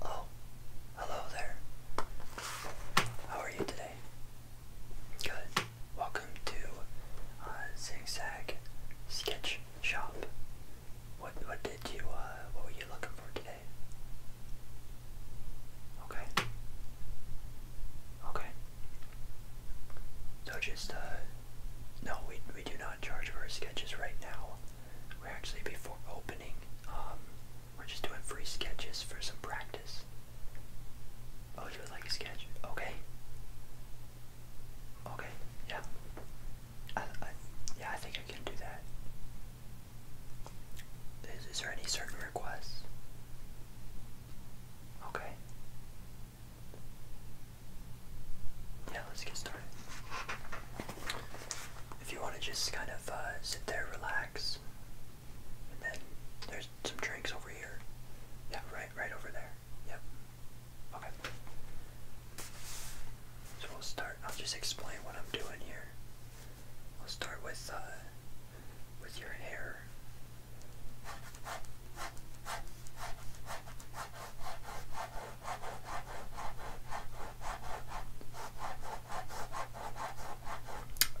Oh, hello there. How are you today? Good. Welcome to uh, Zigzag Sketch Shop. What what did you uh what were you looking for today? Okay. Okay. So just uh no we we do not charge for our sketches right now. We're actually before opening, um we're just doing free sketches for some practice. Oh, you would like a sketch? Okay. Okay, yeah. I, yeah, I think I can do that. Is, there any certain requests? Okay. Yeah, let's get started. If you want to just kind of uh, sit there, relax, and then there's some drinks over here. Yeah, right, right over there. Yep. Okay. So we'll start. I'll just explain what I'm doing here. I'll start with uh, with your hair.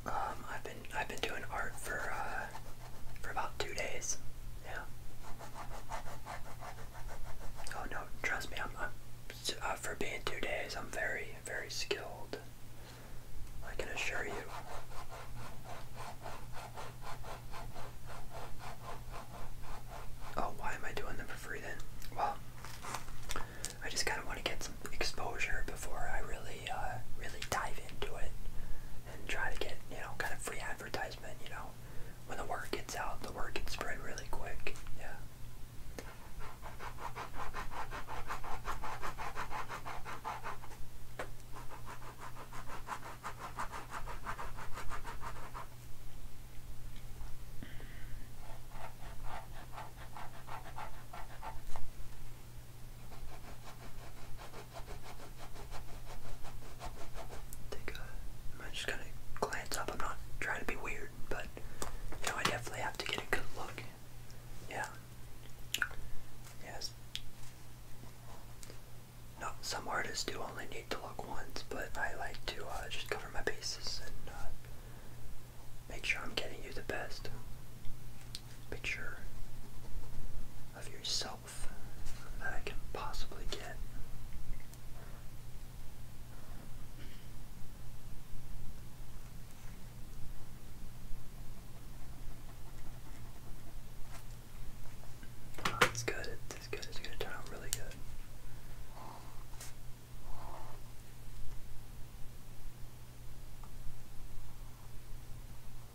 Um, I've been I've been doing art for uh, for about two days. Yeah. Oh no, trust me, I'm, uh, for being two days, I'm very, very skilled. I can assure you. Oh, why am I doing them for then? Well, I just kind of want to get some exposure before I really, uh, really dive into it and try to get, you know, kind of free advertisement, you know. When the word gets out, the word gets spread really quick. Yeah. Take uh, I'm just gonna glance up. I'm not trying to be weird, but you know I definitely have to get a good look. Yeah. Yes. No, some artists do only need to look once, but I like to uh, just cover my bases and uh, make sure I'm getting you the best picture of yourself that I can possibly get. it's good, it's good, it's gonna turn out really good.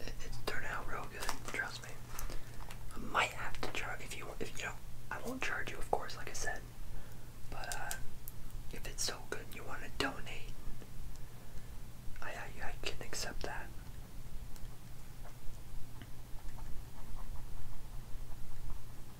It, turned out real good. Trust me. I might have to charge if you if you know I won't charge you, of course, like I said. But uh, if it's so good, you want to donate. I I can accept that.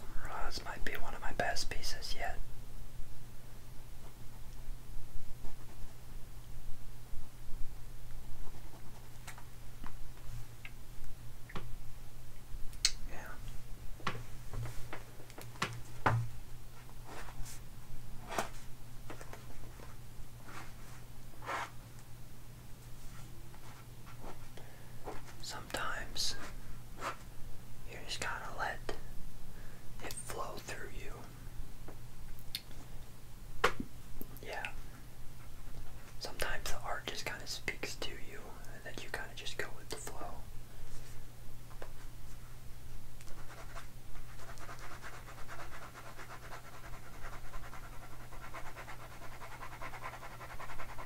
Oh, this might be one of my best pieces yet. Yeah. Sometimes you just gotta let it flow through you. Yeah. Sometimes the art just kind of speaks to you, and then you kind of just go with the flow.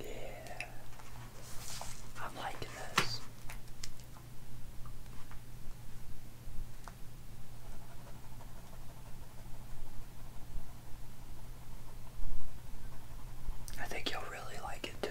Yeah, I'm liking this. I think you'll really like it too.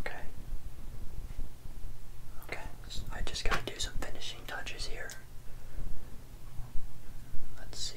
Okay. Okay, I just gotta do some finishing touches here. Let's see.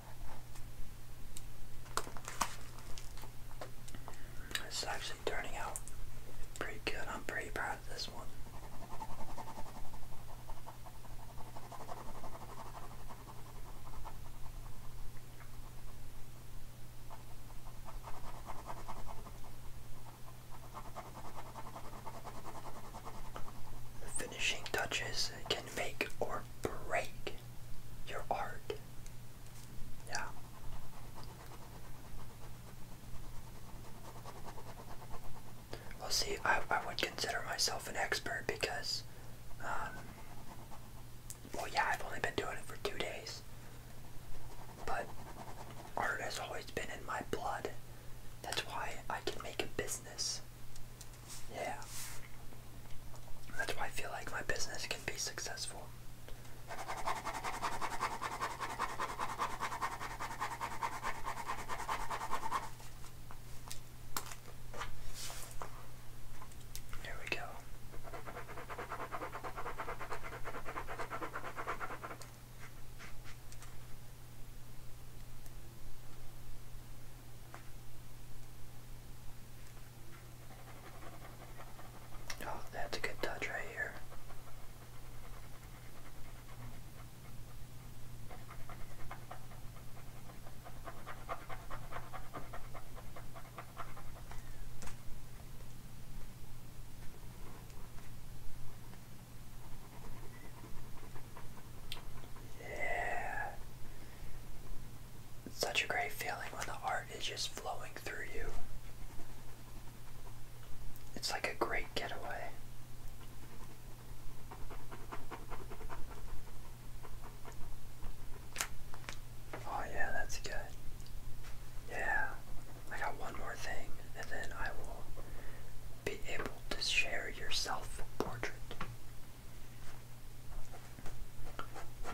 It's actually turning out pretty good. I'm pretty proud of this one. Finishing touches can make or break your art. Yeah. Well, see, I, I would consider myself an expert because, um, well, yeah, I've only been doing it for two days. But art has always been in my blood. That's why I can make a business. Yeah. That's why I feel like my business can be successful. Here we go. Oh, that's a good touch right here. Yeah. such a great feeling when the art is just flowing through you. It's like a great getaway. Oh, yeah, that's good. Yeah, I got one more thing and then I will be able to share your self-portrait.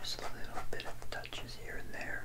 Just a little bit of touches here and there.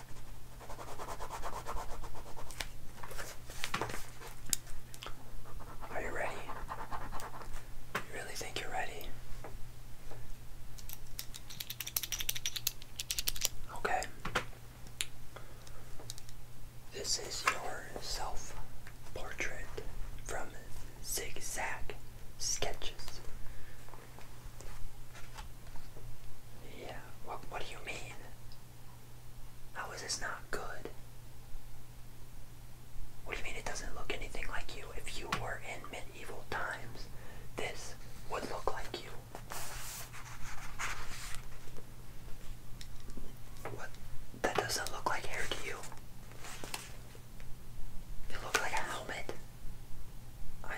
Are you ready? You really think you're ready? Okay. This is your self portrait from Zigzag Sketches. Yeah, what, what do you mean? How is this not good? What do you mean it doesn't look anything like you? If you were in medieval times, this would look like you. What? That doesn't look like hair to you. It looks like a helmet. I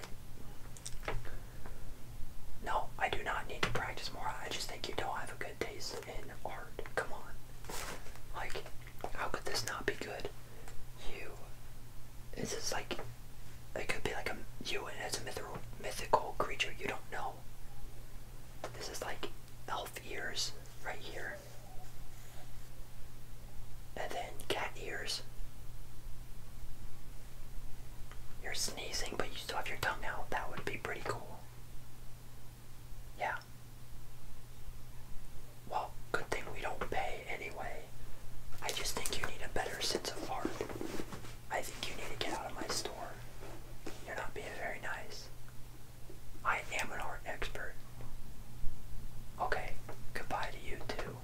no, I do not need to practice more. I just think you don't have a good taste in art. Come on. Like, how could this not be good? You. This is like. It could be like a. You and it's a mythical, mythical creature you don't know. This is like elf ears right here. And then cat ears. You're sneezing, but you you still have your tongue out, that would be pretty cool. Yeah. Well, good thing we don't pay anyway. I just think you need a better sense of art. I think you need to get out of my store. You're not being very nice. I am an art expert. Okay, goodbye to you too.